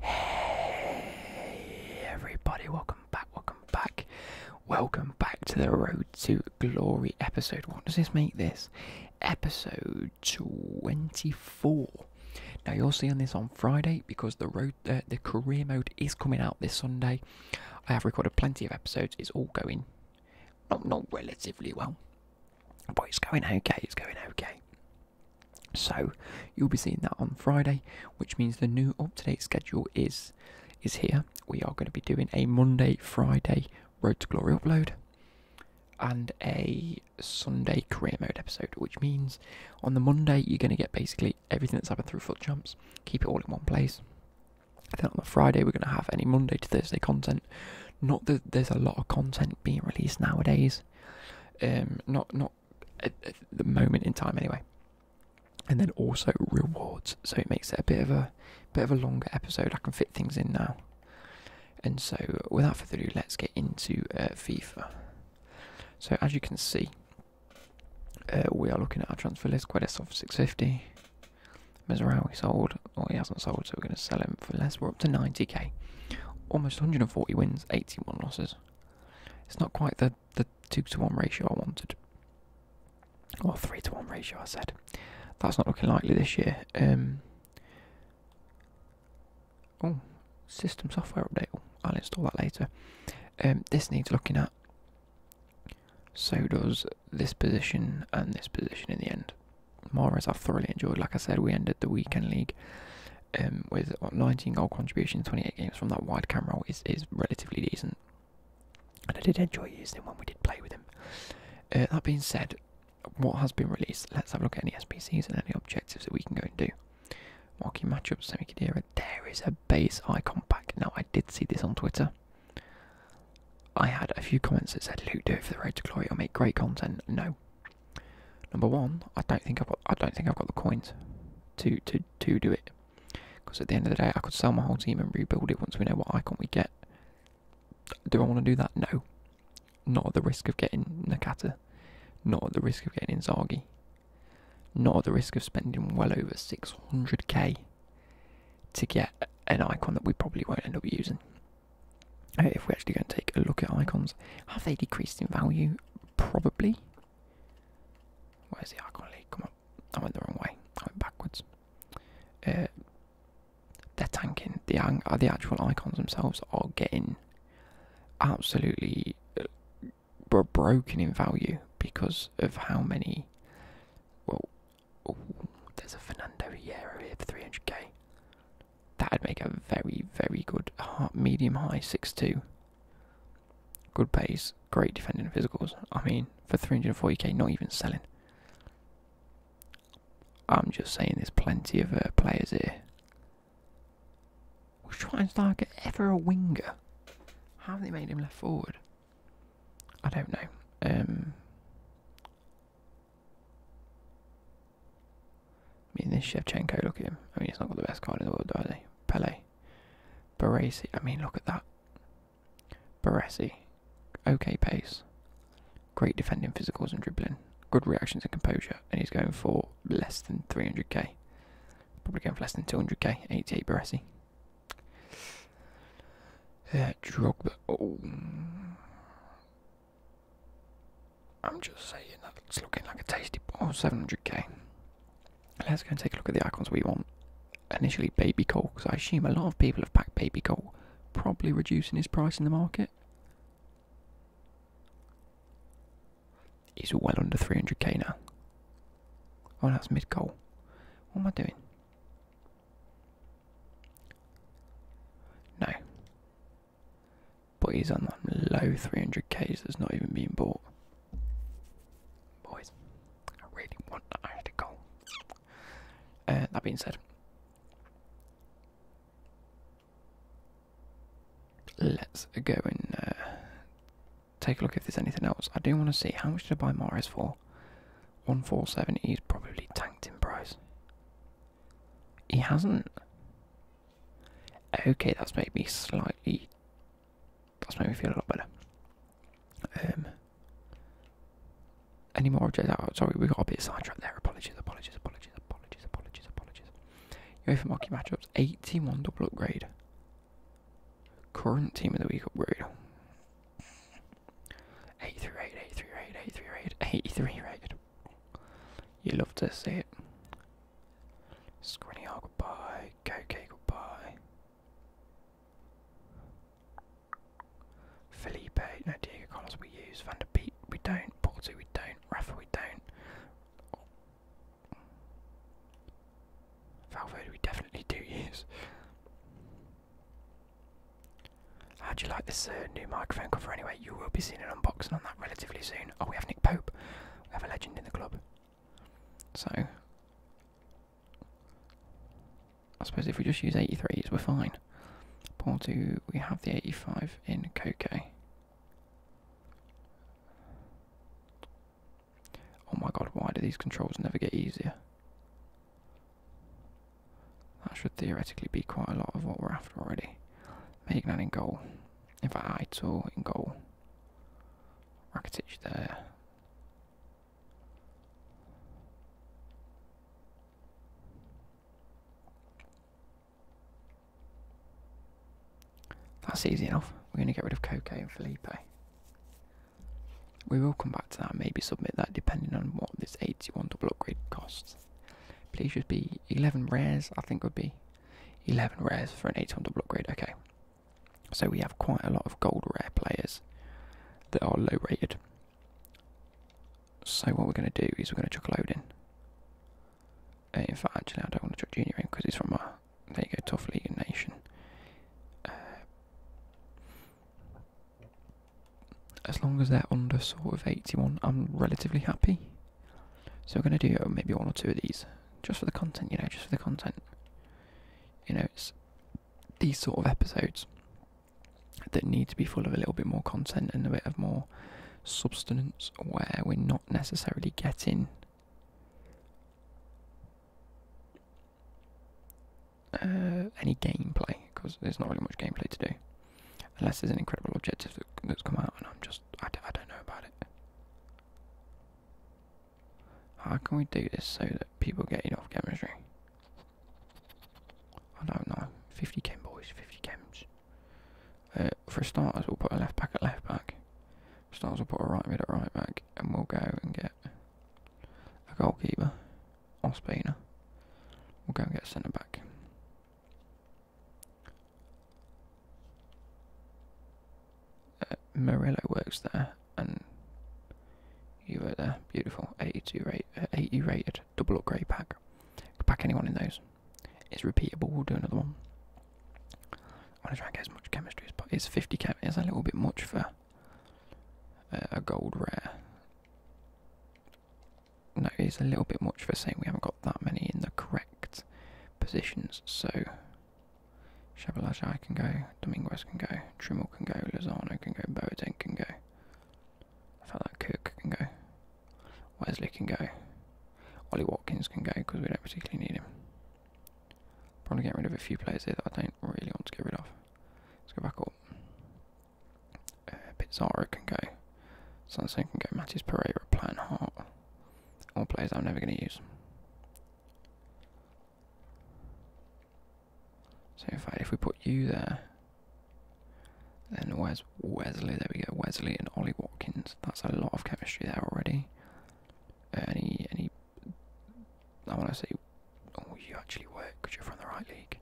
Hey everybody, welcome back, welcome back, welcome back to the Road to Glory episode. What does this make this? Episode 24. Now you're seeing this on Friday because the road, uh, the career mode is coming out this Sunday. I have recorded plenty of episodes. It's all going not not relatively well, but it's going okay. It's going okay. So you'll be seeing that on Friday, which means the new up-to-date schedule is is here. We are going to be doing a Monday, Friday Road to Glory upload and a Sunday career mode episode, which means on the Monday you're going to get basically everything that's happened through foot jumps, keep it all in one place. And then on the Friday we're going to have any Monday to Thursday content. Not that there's a lot of content being released nowadays. Um, not not the moment in time anyway. And then also rewards, so it makes it a bit of a bit of a longer episode. I can fit things in now. And so, without further ado, let's get into uh, FIFA. So, as you can see, uh, we are looking at our transfer list. Quedes off 650. Mesraoui sold, or he hasn't sold, so we're going to sell him for less. We're up to 90k. Almost 140 wins, 81 losses. It's not quite the, the 2 to 1 ratio I wanted. Or 3 to 1 ratio, I said. That's not looking likely this year. Um, oh, system software update. Oh, I'll install that later. Um, this needs looking at. So does this position and this position in the end. More as I've thoroughly enjoyed. Like I said, we ended the weekend league um, with 19 goal contributions, 28 games from that wide camera is, is relatively decent. And I did enjoy using him when we did play with him. Uh, that being said, what has been released? Let's have a look at any SPCs and any objectives that we can go and do. Walking Marking matchups, Semikadira. There is a base icon pack. Now, I did see this on Twitter. I had a few comments that said, Luke, do it for the road to glory. or make great content. No, Number one, I don't think I've got, I don't think I've got the coins to to to do it. Because at the end of the day, I could sell my whole team and rebuild it once we know what icon we get. Do I want to do that? No. Not at the risk of getting Nakata. Not at the risk of getting Zargi. Not at the risk of spending well over 600k to get an icon that we probably won't end up using. If we are actually going to take a look at icons, have they decreased in value? Probably. Where is the icon lead? Come on. I went the wrong way. I went backwards. Uh, they're tanking. The, the actual icons themselves are getting absolutely uh, broken in value because of how many. Well, ooh, there's a Fernando here for 300k. That'd make a very, very good medium high six two. Good pace, great defending physicals. I mean, for 340k, not even selling. I'm just saying there's plenty of uh, players here. Was Schweinsteiger ever a winger? How have they made him left forward? I don't know. Um, I mean, this Shevchenko, look at him. I mean, he's not got the best card in the world, either. Pele. Baresi. I mean, look at that. Baresi. Okay pace. Great defending physicals and dribbling. Good reactions and composure. And he's going for less than 300k. Probably going for less than 200k. 88 Baresi. Yeah, Drogba. Oh. I'm just saying that that's looking like a tasty ball, 700k. Let's go and take a look at the icons we want. Initially, baby coal, because I assume a lot of people have packed baby coal, probably reducing his price in the market. He's well under 300k now. Oh, that's mid coal. What am I doing? No. But he's on that low 300k that's not even being bought. Boys, I really want that article. Uh, that being said, let's go and uh, take a look if there's anything else. I do want to see how much did I buy Morris for? 147, he's probably tanked in price. He hasn't. Okay, that's made me slightly that's made me feel a lot better. Um, any more objects? Oh, sorry, we got a bit of sidetrack there. Apologies, apologies, apologies, apologies, apologies, apologies. You're UEFA Mocky matchups, 81 double upgrade. Current team of the week upgrade. 83 rated, 83 rated, 83 rated, 83 rated. You love to see it. Squinty Hog, goodbye. KK, goodbye. Felipe, no Diego Carlos we use. Van der Beek, we don't. Porto, we don't. Rafa, we don't. Valverde, we definitely do use. How do you like this uh, new microphone cover anyway? You will be seeing an unboxing on that relatively soon. Oh, we have Nick Pope. We have a legend in the club. So, I suppose if we just use 83s, we're fine. Porto, we have the 85 in Coco. Oh my god, why do these controls never get easier? That should theoretically be quite a lot of what we're after already. Make that in goal. If In fact, I in goal. Rakitic there. That's easy enough. We're going to get rid of Coco and Felipe. We will come back to that and maybe submit that depending on what this 81 double upgrade costs. Please just be 11 rares, I think would be 11 rares for an eighty-one double upgrade. Okay. So we have quite a lot of gold rare players that are low rated. So what we're going to do is we're going to chuck a load in. Uh, in fact, actually, I don't want to chuck Junior in because he's from our, there you go, Tough League Nation. Uh, as long as they're under sort of 81, I'm relatively happy. So we're going to do maybe one or two of these just for the content, you know, just for the content. You know, it's these sort of episodes that need to be full of a little bit more content and a bit of more substance where we're not necessarily getting uh, any gameplay because there's not really much gameplay to do unless there's an incredible objective that, that's come out and I'm just I, d I don't know about it how can we do this so that people get it off chemistry? I don't know. 50 chem boys, 50 chems. Uh, for starters, we'll put a left back at left back. For starters, will put a right mid at right back, and we'll go and get a goalkeeper, Ospina. We'll go and get a centre back. Uh, works there, and you have got a Beautiful. 82 uh, 80 rated, double upgrade pack. Pack anyone in those. It's repeatable. We'll do another one. I want to try and get as much chemistry as possible. It's 50 chem. It's a little bit much for uh, a gold rare. No, it's a little bit much for saying we haven't got that many in the correct positions. So Shabalajai can go, Dominguez can go, Trimmel can go, Lozano can go, Boateng can go. I felt like Cook can go, Wesley can go, Ollie Watkins can go because we don't particularly need him. Probably get rid of a few players here that I don't really want to get rid of. Let's go back up. Uh, Pizarro can go, Sanson can go, Mattis Pereira, Plan Hart, all players I'm never going to use. So in if we put you there, then where's Wesley? There we go, Wesley and Ollie Watkins. That's a lot of chemistry there already. Any, any. I want to say, oh, you actually work because you're from the right league.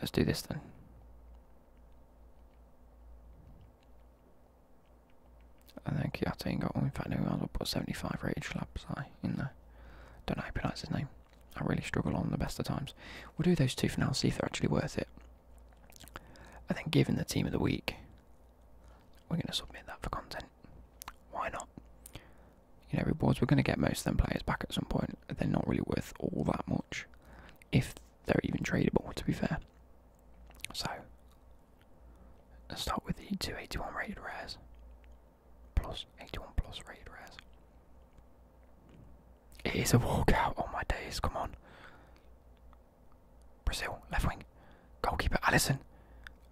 Let's do this then. And then Kiate got one. In fact, no, I'll put 75 rated Schlapsai in there. Don't know how to pronounce his name. I really struggle on the best of times. We'll do those two for now, see if they're actually worth it. And then, given the team of the week, we're going to submit that for content. Why not? you know, rewards. We're going to get most of them players back at some point. They're not really worth all that much, if they're even tradable, to be fair. So, let's start with the 281 rated rares. Plus, 81 plus rated rares. It is a walkout. Oh my days, come on. Brazil, left wing. Goalkeeper, Allison.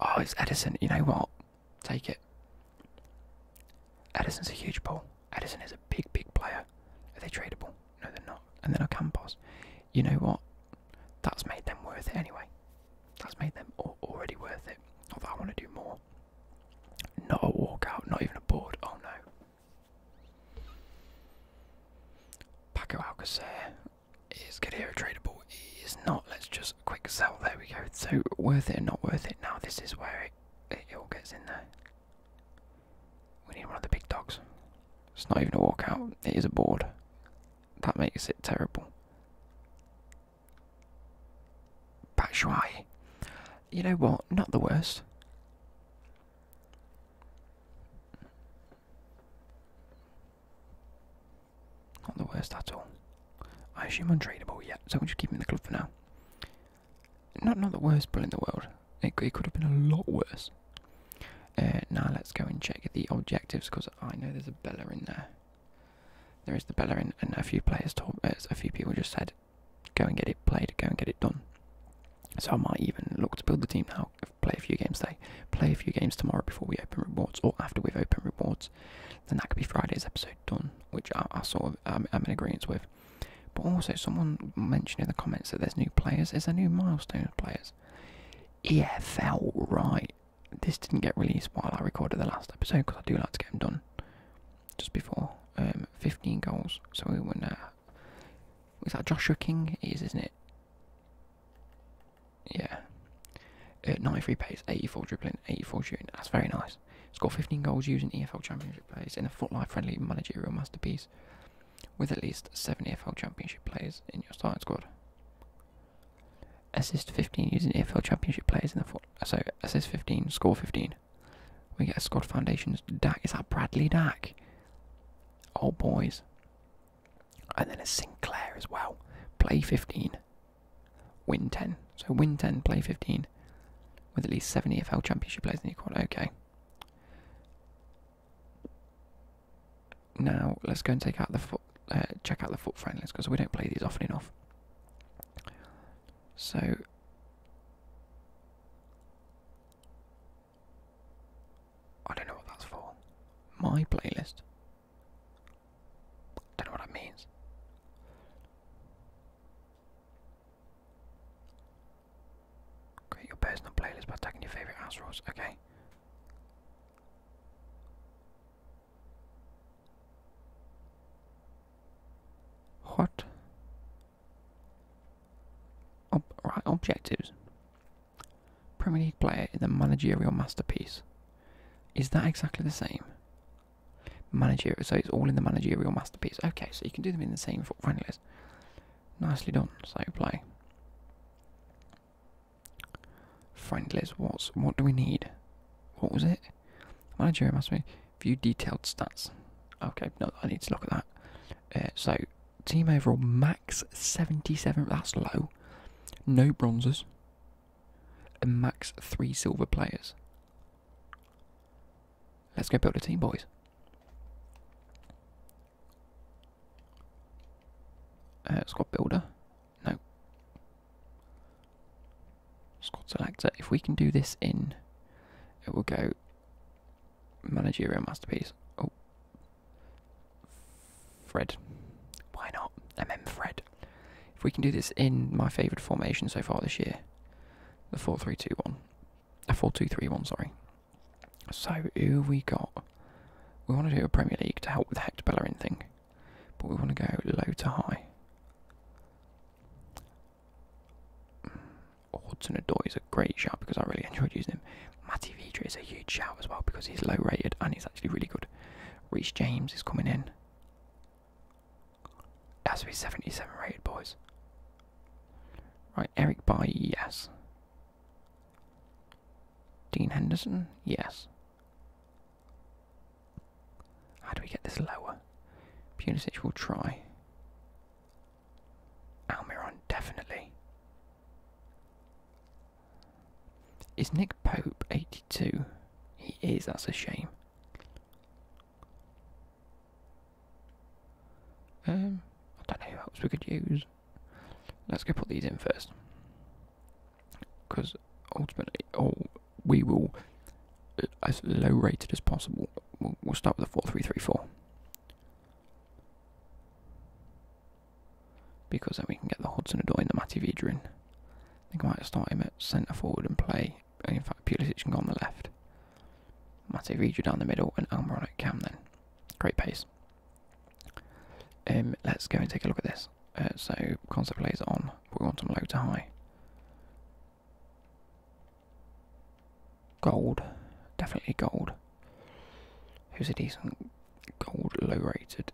Oh, it's Edison. You know what? Take it. Edison's a huge pull. Edison is a big, big player. Are they tradable? No, they're not. And then I come, boss. You know what? That's made them worth it anyway. That's made them already worth it. Although I want to do more. Not a walkout, not even a board. Oh no. Paco Alcazar is Gadira tradable. He is not. Let's just quick sell. There we go. So worth it and not worth it. Now this is where it it, all gets in there. We need one of the big dogs. It's not even a walk out. it is a board. That makes it terrible. Batshuayi. You know what? Not the worst. Not the worst at all. I assume untradeable yet, so we'll just keep him in the club for now. Not not the worst bull in the world. It, could have been a lot worse. Uh, now let's go and check the objectives because I know there's a beller in there. There is the beller, and a few players told uh, a few people just said, go and get it played, go and get it done. So I might even look to build the team now. Play a few games today, play a few games tomorrow before we open rewards or after we've opened rewards. Then that could be Friday's episode done, which I, I sort of I'm, in agreement with. But also, someone mentioned in the comments that there's new players. there's a new milestone players? Yeah, felt right. This didn't get released while I recorded the last episode because I do like to get them done just before. Um, 15 goals. So we won. Uh, is that Joshua King? It is, isn't it? Yeah. Uh, 93 pace, 84 dribbling, 84 shooting. That's very nice. Olympics, scored 15 goals using EFL Championship players in a footlight friendly managerial masterpiece, with at least 7 EFL Championship players in your starting squad. Assist 15 using EFL Championship players in the foot. Uh, so, assist 15, score 15. We get a squad of foundations. Dak, is that Bradley Dak? Oh, boys. And then a Sinclair as well. Play 15, win 10. So, win 10, play 15 with at least seven EFL Championship players in your squad. Okay. Now let's go and take out the foot, uh, check out the foot friendlies because we don't play these often enough. So. I don't know what that's for. My playlist. Don't know what that means. Create your personal playlist by tagging your favorite house rules. Okay. What? Ob objectives. Premier League player in the managerial masterpiece. Is that exactly the same? Manager, so it's all in the managerial masterpiece. Okay, so you can do them in the same friendly Nicely done. So play. Friendlies. What's what do we need? What was it? Managerial masterpiece. View detailed stats. Okay, no, I need to look at that. Uh, so team overall max seventy-seven. That's low. No bronzes. And max three silver players. Let's go build a team, boys. Uh, squad builder. No. Squad selector. If we can do this in, it will go managerial masterpiece. Oh. Fred. Why not? MM Fred. If we can do this in my favourite formation so far this year, the 4321. A 4231, sorry. So, who we got? We want to do a Premier League to help with the Hector Bellerin thing, but we want to go low to high. Hudson Odoi is a great shout because I really enjoyed using him. Matti Vidra is a huge shout as well because he's low rated and he's actually really good. Reece James is coming in. That's has to be 77 rated, boys. Right, Eric By, yes. Dean Henderson, yes. How do we get this lower? Punisic will try. Almiron, definitely. Is Nick Pope 82? He is, that's a shame. Um, I don't know who else we could use. Let's go put these in first. Because ultimately, oh, we will, uh, as low rated as possible, we'll, start with the 4334. Because then we can get the Hudson Adoy and the Matty Vidrin. I think I might start him at centre forward and play in fact, Pulisic can go on the left. Mate Reed down the middle and Almiron Cam then. Great pace. Um, let's go and take a look at this. Uh, so, concert plays on. We want them low to high. Gold. Definitely gold. Who's a decent gold low rated?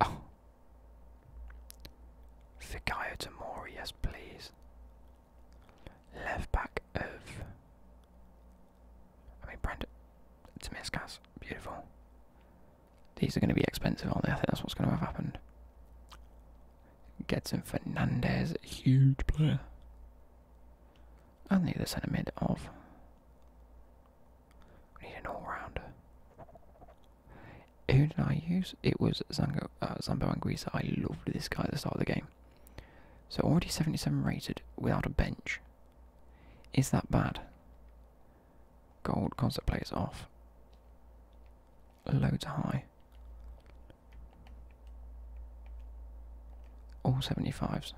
Oh. Fikayo Tamori, yes please. Left back of. I mean, Brandon. Tomiskas, beautiful. These are going to be expensive, are I think that's what's going to have happened. Getson Fernandez, huge player. I need the other centre mid of. We need an all rounder. Who did I use? It was Zango, uh, and Greaser. I loved this guy at the start of the game. So already 77 rated without a bench. Is that bad? Gold concert players off. Low to high. All 75s.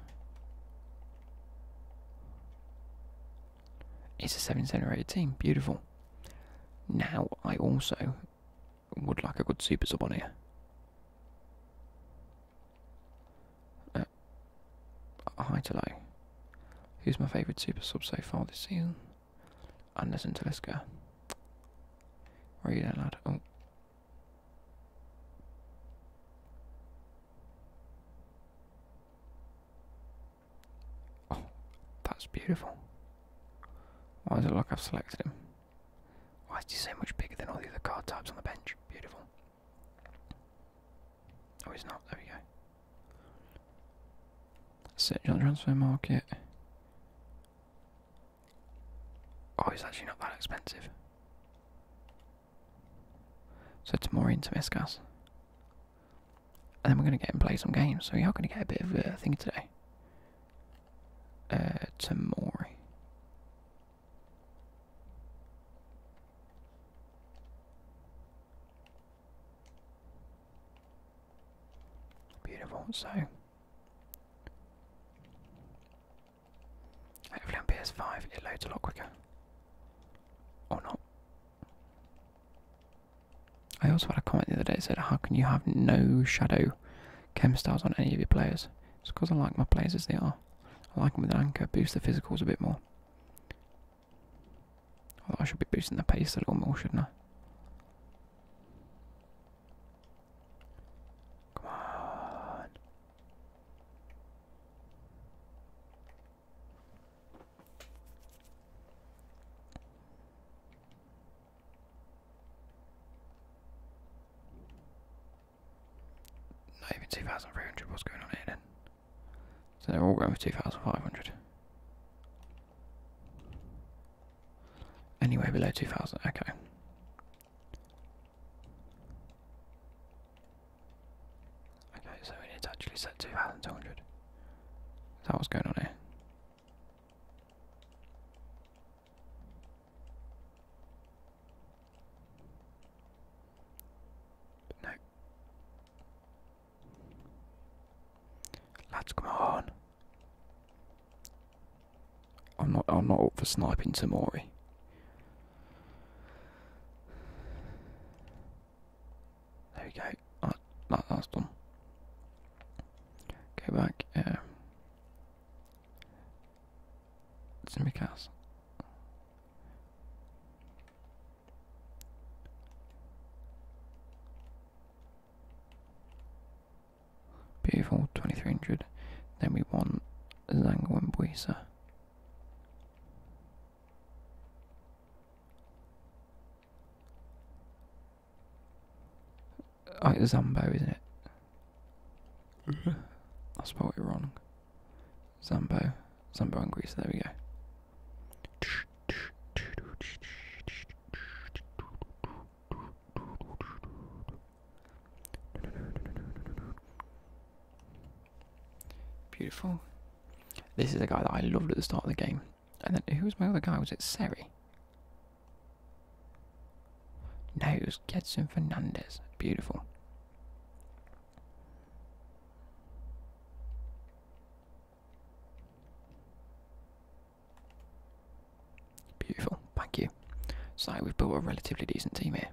It's a 7 rated team. Beautiful. Now I also would like a good super sub on here. Uh, to today. Who's my favourite super sub so far this season? Anderson Taliska. Where are you lad? Oh. oh, that's beautiful. Why does it look like I've selected him? Why is he so much bigger than all the other card types on the bench? Beautiful. Oh, he's not. There we go. Search on transfer market. Oh, he's actually not that expensive. So it's more into Miscas. And then we're going to get and play some games, so we are going to get a bit of a uh, today uh, Tamori. Beautiful. So, hopefully on PS5 it loads a lot quicker. Or not. I also had a comment the other day that said, How can you have no shadow chem styles on any of your players? It's because I like my players as they are. I like them with an anchor, boost the physicals a bit more. I should be boosting the pace a little more, shouldn't I? Come on. Not even 2,300, what's going on here then? So they're all going for 2,500. Anyway, below 2,000, okay. Okay, so we need to actually set 2,200. Is that what's going on here? No. Lads, come on. I'm not I'm not up for sniping Tamori. There we go. That, that that's Go back, um, it's because Beautiful, 2300. Then we want Zango Buisa. Like oh, the Zambo, isn't it? Mm-hmm. I you're wrong. Zambo. Zambo and Greece, there we go. Beautiful. This is a guy that I loved at the start of the game. And then who was my other guy? Was it Seri? No, it was Gedson Fernandez. Beautiful. Beautiful. Thank you. So we've built a relatively decent team here.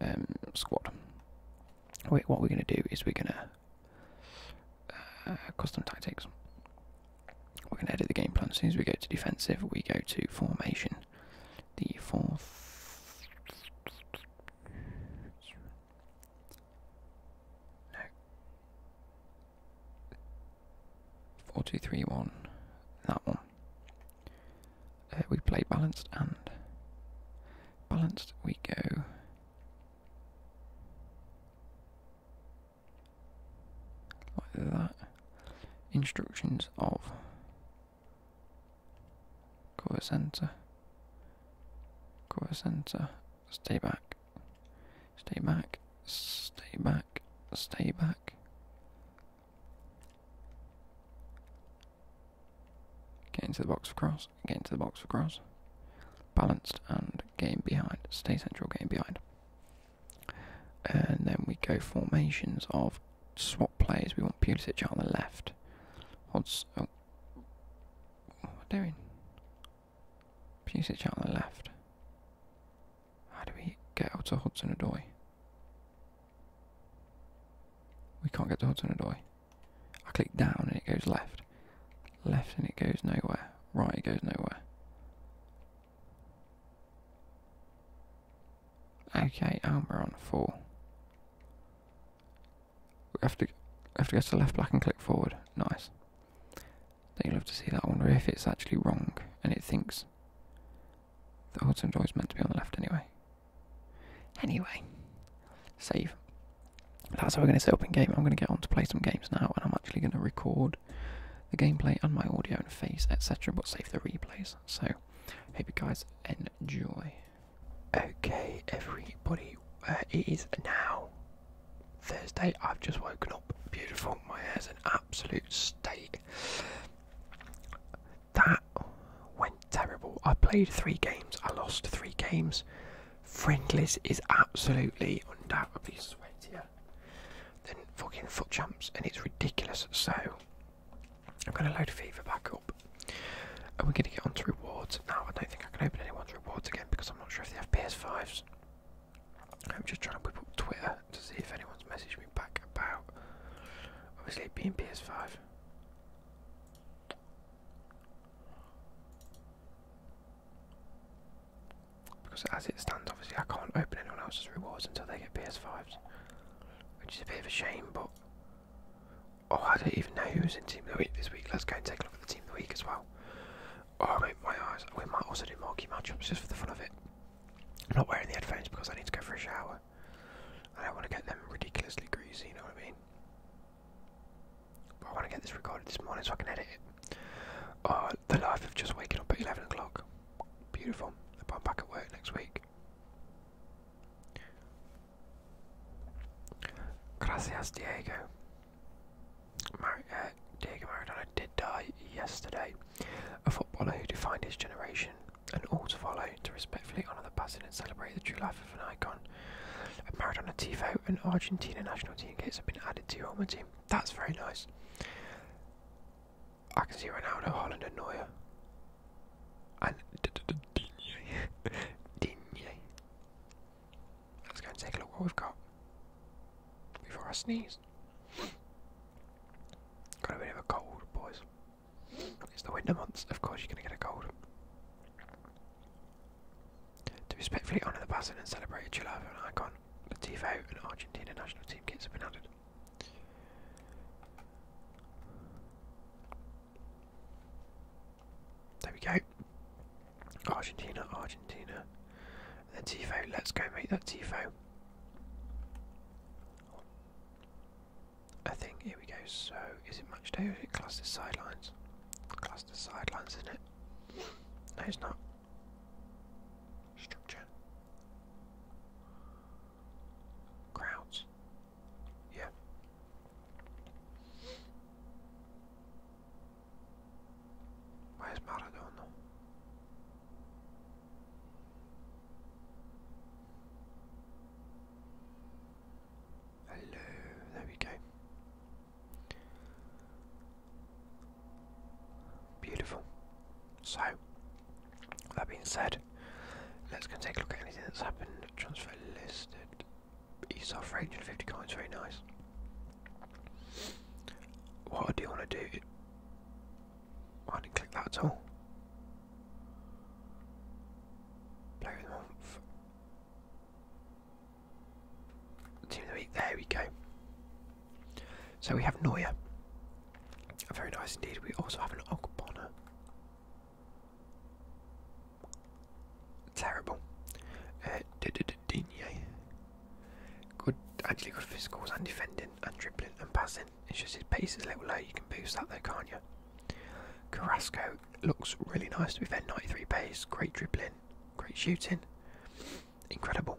Um, squad. Wait. What we're going to do is we're going to uh, custom tactics. We're going to edit the game plan. As soon as we go to defensive, we go to formation. The fourth. No. Four, two, three, one. That one. Uh, we play balanced and balanced. We go. Like that. Instructions of cover center, cover center, stay back, stay back, stay back, stay back. Get into the box for cross, get into the box for cross. Balanced and game behind, stay central, game behind. And then we go formations of swap players. We want Pulisic on the left. Odds, oh, what am I doing? Pulisic on the left. How do we get out to Hudson Adoy? We can't get to Hudson Adoy. I click down and it goes left. Left and it goes nowhere. Right, it goes nowhere. Okay, oh, we're on four. We have to we have to go to the left black and click forward. Nice. Then you'll have to see that. I wonder if it's actually wrong and it thinks the autumn door is meant to be on the left anyway. Anyway, save. That's how we're going to set up in game. I'm going to get on to play some games now, and I'm actually going to record the gameplay and my audio and face, etc., but save the replays. So, hope you guys enjoy. Okay, everybody, uh, it is now Thursday. I've just woken up. Beautiful. My hair's in absolute state. That went terrible. I played three games. I lost three games. Friendless is absolutely undoubtedly sweaty then fucking foot jumps and it's ridiculous. So, i am gonna load of fever back up. and we are going to get onto rewards? Now, I don't think I can open anyone's rewards again because I'm not sure if they have PS5s. I'm just trying to whip up Twitter to see if anyone's messaged me back about obviously it being PS5. Because as it stands, obviously, I can't open anyone else's rewards until they get PS5s. Which is a bit of a shame, but. Oh, I don't even know who was in Team the Week this week. Let's go and take a look at the Team of the Week as well. Oh, mate, my eyes. We might also do marquee matchups just for the fun of it. I'm not wearing the headphones because I need to go for a shower. I don't want to get them ridiculously greasy, you know what I mean? I want to get this recorded this morning so I can edit it. Oh, the life of just waking up at 11 o'clock. Beautiful. I'm back at work next week. Gracias, Diego. Mar uh, Diego Maradona did die yesterday. A footballer who defined his generation and all to follow to respectfully honour the passing and celebrate the true life of an icon. Maradona Tifo, an Argentina national team gates have been added to your home team. That's very nice. I can see Ronaldo, Holland, and Neuer. And Digne. Digne. Let's go and take a look what we've got. Before I sneeze. Got a bit of a cold, boys. It's the winter months, of course you're going to get a cold. To respectfully honour the passing and celebrate a chill of an icon, the Tifo and Argentina national team kits have been added. There we go. Argentina, Argentina. The TIFO, let's go make that TIFO. I think, here we go, so is it much? day or is it cluster sidelines? Cluster sidelines, isn't it? No, it's not. Structure. Crowds. Yeah. Where's Maradona? Hello, there we go. Beautiful. So, that being said, let's go and take a look at anything that's happened. Transfer listed. ESOL for 850 coins, very nice. What I do want to do I didn't click that at all. month. Team of the week, there we go. So we have Neuer. Very nice indeed. We also have an Ogbonna. Terrible. Uh, Digne. Good, actually good physicals and defending and dribbling and passing. It's just his pace is a little low. You can boost that though, can't you? Carrasco looks really nice to be fair. 93 pace, great dribbling, great shooting incredible.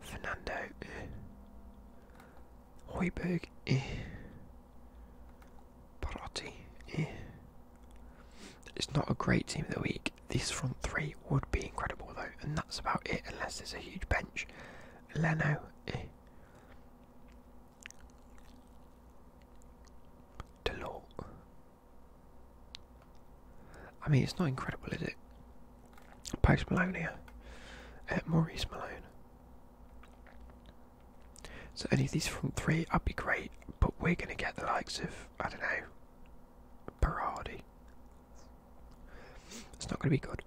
Fernando, eh. Hoiberg, eh. Barotti, eh. It's not a great team of the week. This front three would be incredible though, and that's about it. Unless there's a huge bench. Leno, eh. Delort, I mean, it's not incredible, is it? Post Malone here. Uh, Maurice Malone. So any of these front three, I'd be great, but we're going to get the likes of, I don't know, Berardi. It's not going to be good.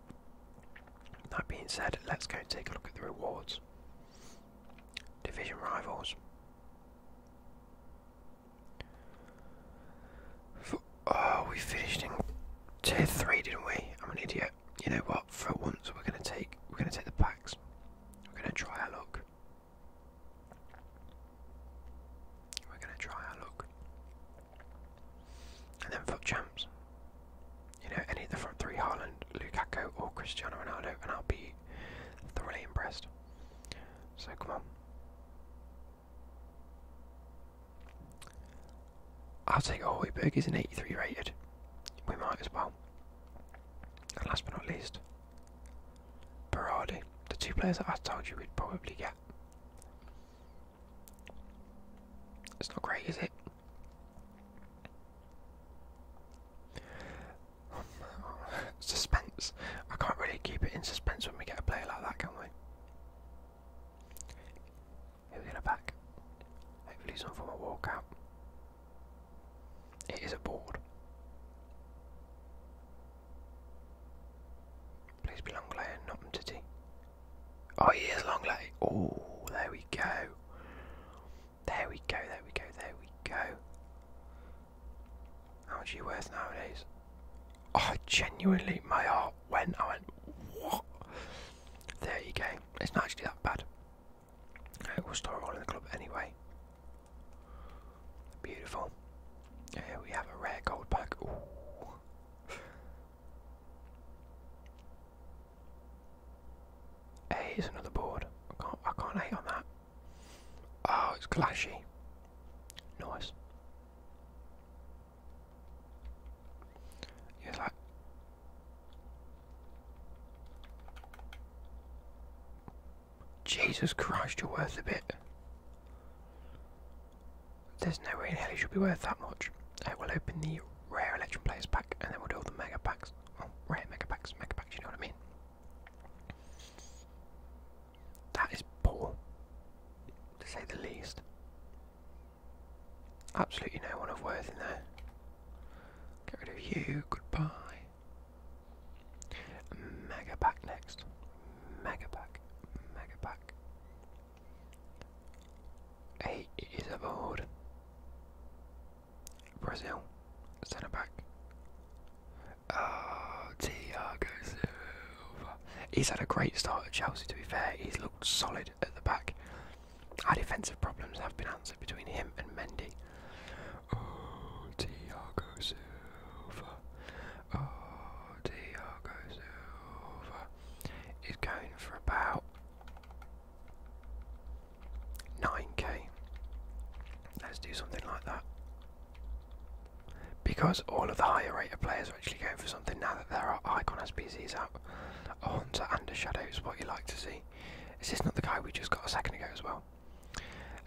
That being said, let's go and take a look at the rewards. Division rivals oh, we finished in tier three, didn't we? I'm an idiot. You know what? For once, we're gonna take we're gonna take the packs. We're gonna try our luck. We're gonna try our luck. And then foot champs. You know, any of the front three, Haaland, Lukaku or Cristiano Ronaldo, and I'll be thoroughly impressed. So come on. I'll take Holy Burgers an 83 rated. We might as well. And last but not least, Berardi. The two players that I told you we'd probably get. It's not great, is it? suspense. I can't really keep it in suspense when we get a player like that, can we? Here we go back. Hopefully some form of walkout. It is a board. Please be long lay not Titty. Oh he is long lay. Oh there we go. There we go, there we go, there we go. How much you worth nowadays? I oh, genuinely, my heart went. I went, There you go. It's not actually that bad. we'll store all in the club anyway. Beautiful. we have a rare gold pack. Ooh. hey, another board. I can't, I can't hate on that. Oh, it's clashy. Nice. Yeah, like Jesus Christ, you're worth a bit. There's no way in hell you should be worth that much. I will open the rare election players pack and then we'll do all the mega packs. Well, rare mega packs, mega packs, you know what I mean? That is poor, to say the least. Absolutely no one of worth in there. Get rid of you, goodbye. Mega pack next. Mega pack, mega pack. Eight is aboard. Brazil, centre back. Uh, He's had a great start at Chelsea, to be fair. He's looked solid at the back. Our defensive problems have been answered between him and Mendy. Oh, He's oh, going for about 9k. Let's do something like that. Because all of the higher rated players are actually going for something now that there are icon SPCs out, a Hunter and a Shadow is what you like to see. Is this not the guy we just got a second ago as well?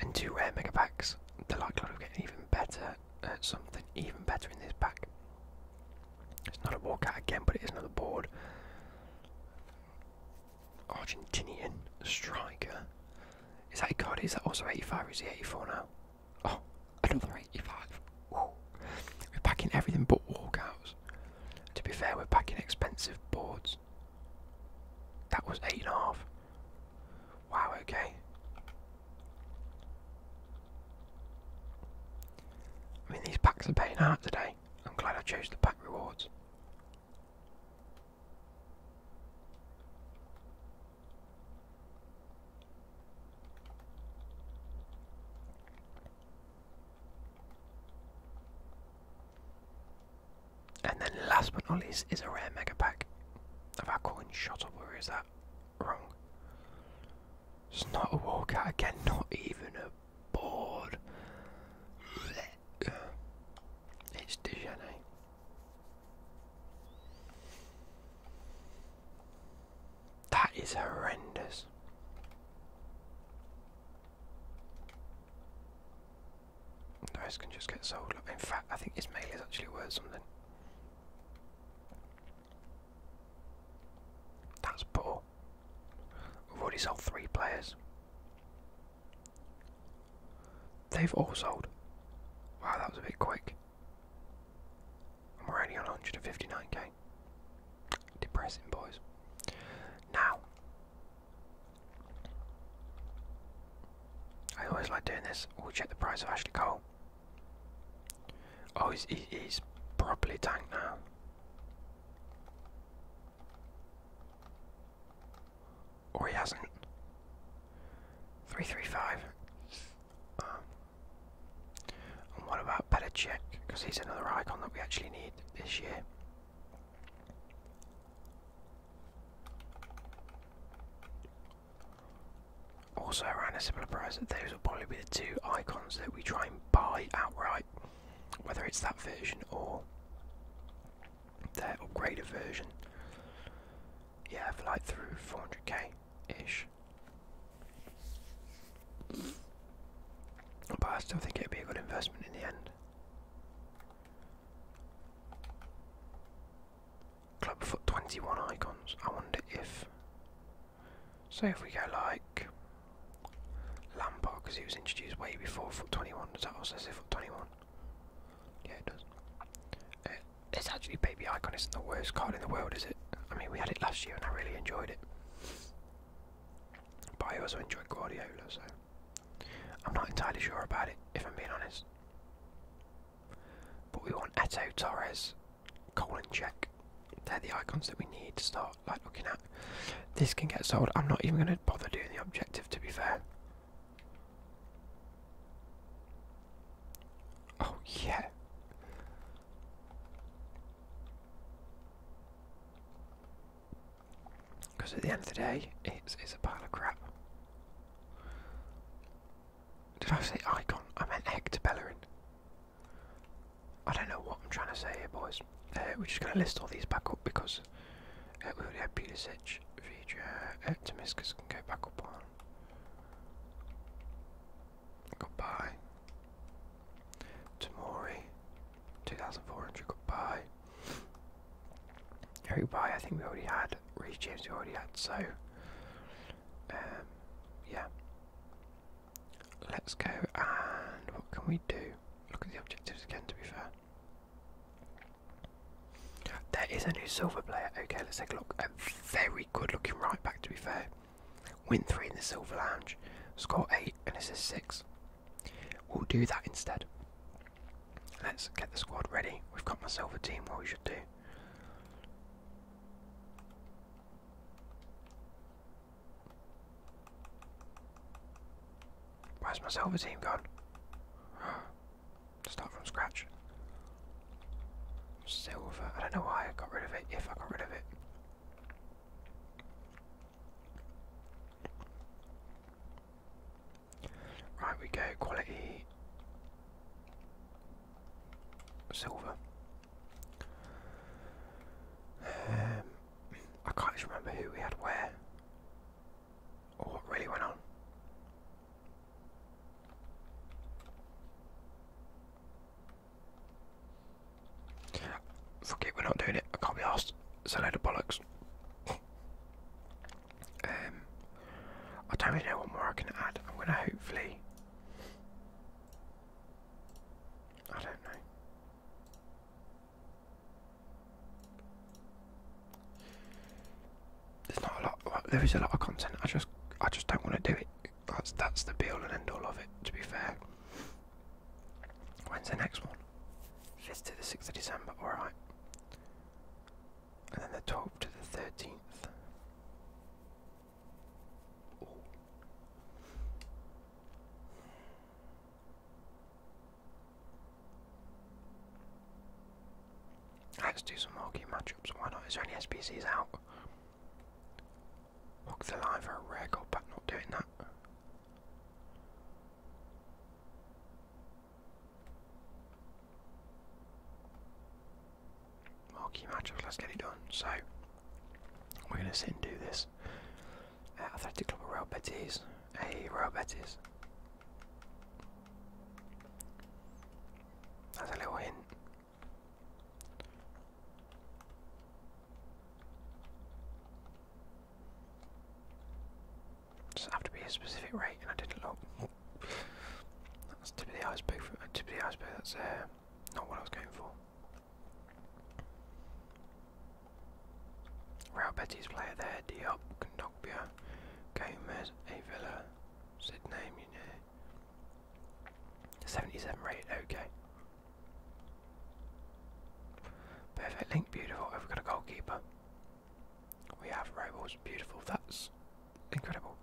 And two rare mega packs, the likelihood of getting even better at something even better in this pack. It's not a walkout again, but it is another board. Argentinian striker. Is that a card? Is that also 85 is he 84 now? Oh, another 85. We're packing everything but walkouts. To be fair, we're packing expensive boards. That was eight and a half. Wow, okay. I mean, these packs are paying out today. I'm glad I chose the pack rewards. And then last but not least is a rare mega pack. Have our coin shot up or is that wrong? It's not a walkout again, not even a board. It's degenerate. That is horrendous. Those can just get sold. In fact, I think this mail is actually worth something. That's poor. We've already sold three players. They've all sold. Wow, that was a bit quick. I'm already on 159k. Depressing, boys. Now, I always like doing this. We'll check the price of Ashley Cole. Oh, he's, he, he's properly tanked now. Or he hasn't. 335. Um, and what about Petacek? Because he's another icon that we actually need this year. Also around a similar price, those will probably be the two icons that we try and buy outright, whether it's that version or their upgraded version yeah, for through 400k ish. But I still think it'd be a good investment in the end. Clubfoot 21 icons. I wonder if. So if we go like. Lampard, because he was introduced way before Foot 21, does that also say Foot 21? Yeah, it does. it's uh, actually Baby Icon isn't the worst card in the world, is it? I mean, we had it last year and I really enjoyed it. But I also enjoyed Guardiola, so I'm not entirely sure about it, if I'm being honest. But we want Eto, Torres, colon Check. They're the icons that we need to start like looking at. This can get sold. I'm not even going to bother doing the objective, to be fair. Oh, yeah. Because at the end of the day, it's, it's a pile of crap. Did I say icon? I meant Bellerin. I don't know what I'm trying to say here, boys. Uh, we're just going to list all these back up because uh, we already had Pulisic, Vidra, uh, Tomiskas can go back up on Goodbye. Tamori, 2,400, goodbye. Harry I think we already had. Reece James, we already had, so. Um, yeah. Let's go and what can we do? Look at the objectives again, to be fair. There is a new silver player. Okay, let's take a look. A very good looking right back, to be fair. Win three in the silver lounge. Score eight and assist six. We'll do that instead. Let's get the squad ready. We've got my silver team, what we should do. Where's my silver team gone? Start from scratch. Silver. I don't know why I got rid of it, if I got rid of it. Right, we go quality silver. Um, I can't remember who we had where or what really went on. Fuck we're not doing it. I can't be asked. It's a load of bollocks. um, I don't really know what more I can add. I'm gonna hopefully. I don't know. There's not a lot. there is a lot of content. I just, I just don't want to do it. That's that's the be all and end all of it. To be fair. When's the next one? 5th to the 6th of December, alright. And then the 12th to the 13th. Let's do some more matchups. Why not? Is there any SPCs out? Hook the line for a rare gold pack, not doing that. More matchups, let's get it done. So, we're going to sit and do this. Athletic Club Real Betis. Hey, Real Betis. That's a little hint. Does it have to be a specific rate? And I didn't look. That's tip of the iceberg. tip of the iceberg. That's uh, not what I was going for. Real Betis player there. Diop, Condogbia, Gomez, Avila, Sydney, Munich. 77 rate, okay. Perfect link, beautiful. Have we got a goalkeeper? We have Robles, beautiful. That's incredible.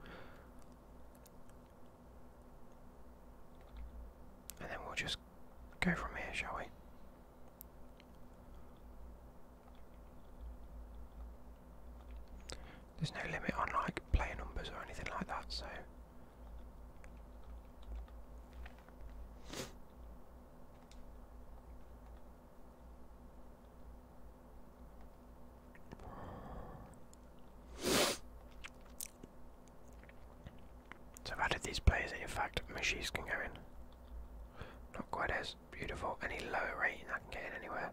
And then we'll just go from here, shall we? There's no limit on like player numbers or anything like that, so so I've added these players in fact machines can go in. Not quite as beautiful. Any lower rating I can get in anywhere.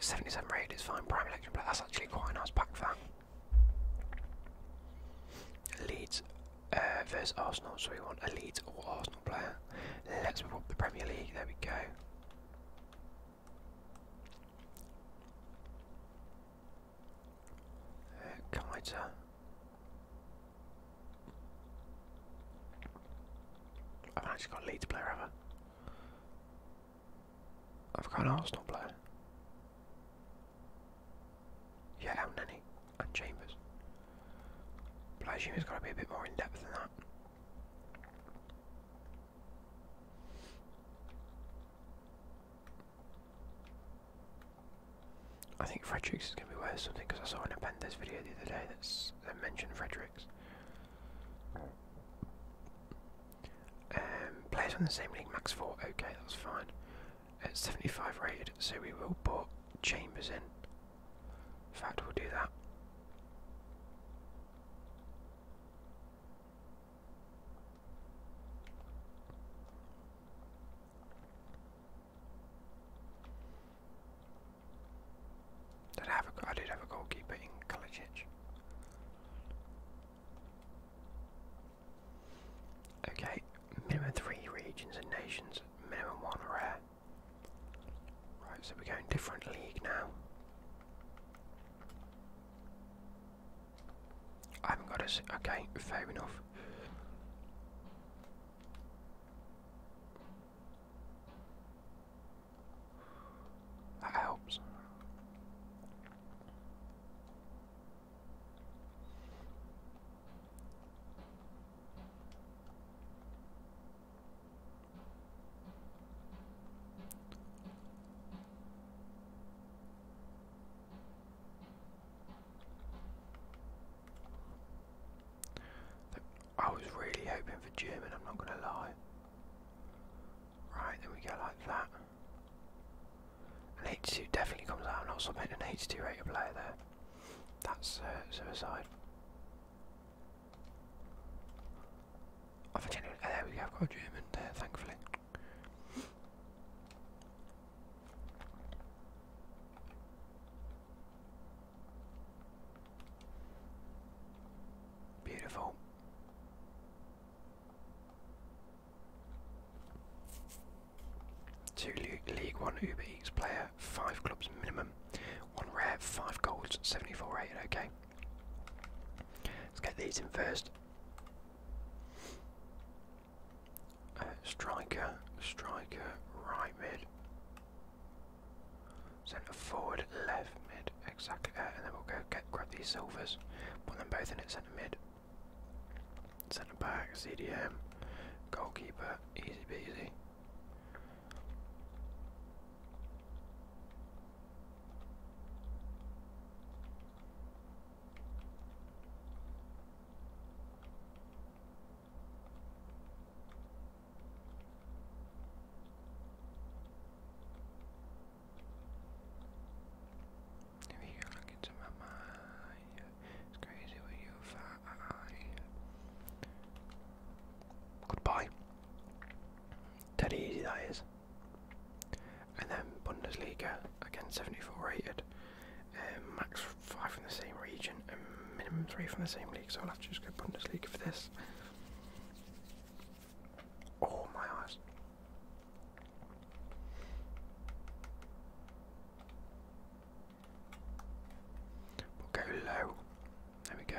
77 raid is fine, prime election play, that's actually quite a nice pack for that. Leeds uh, Arsenal, so we want a Leeds or Arsenal player. Let's move up the Premier League, there we go. Uh, I've actually got a Leeds player, have I? I've got Arsenal player. Yeah, El and Chambers. But has got to be a bit more in depth than that. I think Fredericks is going to be worth something because I saw an Appendix video the other day that's, that mentioned Fredericks. Um, players on the same league, max 4, okay, that's fine. At 75 rated, so we will put Chambers in. In fact, we'll do that. Did I have a, I did have a goalkeeper in Kalicic. Okay, minimum three regions and nations, minimum one rare. Right, so we're going different league now. I haven't got a. Okay, fair enough. That helps. I was really hoping for German, I'm not going to lie. Right, then we go like that. An H2 definitely comes out. I'm not submitting an H2 rated player there. That's uh, suicide. Oh, for genuine. there we go. I've got a German there, thankfully. Beautiful. Two League One Uber player, five clubs minimum, one rare, five golds, 74 8 Okay, let's get these in first. Uh, striker, striker, right mid. Centre forward, left, mid, exactly. Uh, and then we'll go get grab these silvers, put them both in at centre mid. Centre back, CDM, goalkeeper, easy peasy. If you look into my mind, it's crazy what you find. Goodbye. Dead easy that is. And then Bundesliga again, 74 rated, um, max five from the same region minimum three from the same league. So I'll have to just go Bundesliga for this. Oh my eyes. We'll go low. There we go.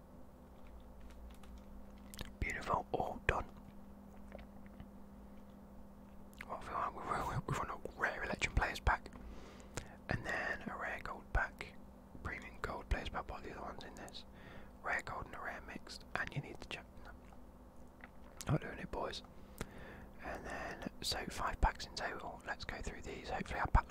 Beautiful, all done. we've a rare election players pack, and then a rare gold pack, premium gold players back. What the other ones in this? Rare gold and a rare mix. and you need to check Not doing it, boys. And then so five packs in total. Let's go through these. Hopefully, our pack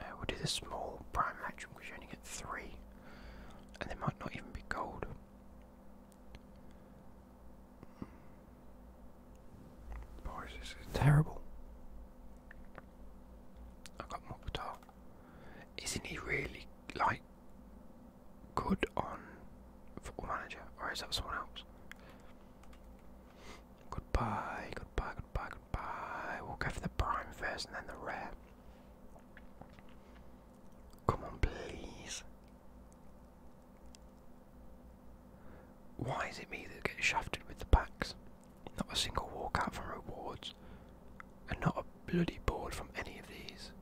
Uh, we'll do the small prime match because you only get three, and they might not even be gold. Boy, this is terrible. I got Mokhtar. Isn't he really like good on Football Manager, or is that someone else? Goodbye, goodbye, goodbye, goodbye. We'll go for the prime first and then the rare. Come on, please. Why is it me that gets shafted with the packs? Not a single walkout from rewards, and not a bloody board from any of these.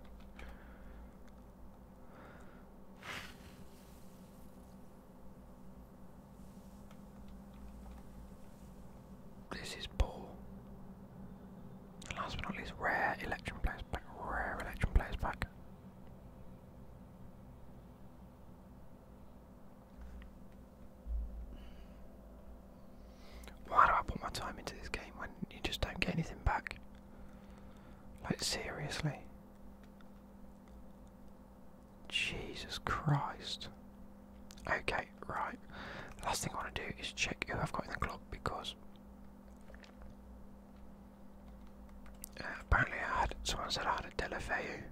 This is poor. And last but not least, rare election players back. Rare election players back. Why do I put my time into this game when you just don't get anything back? Like, seriously? Jesus Christ. Okay, right. last thing I want to do is check who I've got in the clock because uh, apparently I had someone said I had a Delafeu.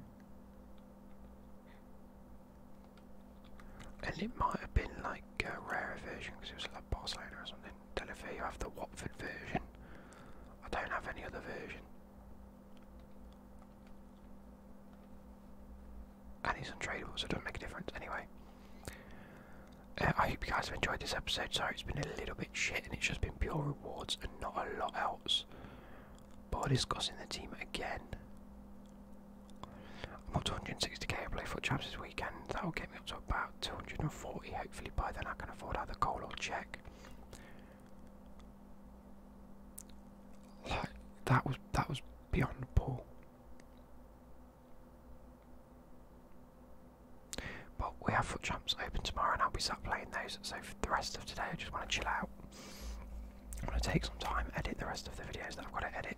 And it might have been like a rarer version because it was like Barcelona or something. Don't have the Watford version. I don't have any other version. And he's untradeable, so it doesn't make a difference anyway. Uh, I hope you guys have enjoyed this episode. Sorry, it's been a little bit shit, and it's just been pure rewards and not a lot else. But we're discussing the team again. I'm up to 160k. I play foot champs this weekend. That will get me up to about 240. Hopefully, by then I can afford either coal or chair. Like that was that was beyond poor. But we have foot jumps open tomorrow, and I'll be sat playing those. So for the rest of today, I just want to chill out. I'm gonna take some time, edit the rest of the videos that I've got to edit.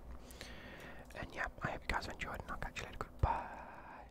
And yeah, I hope you guys enjoyed, and I'll catch you later. Goodbye.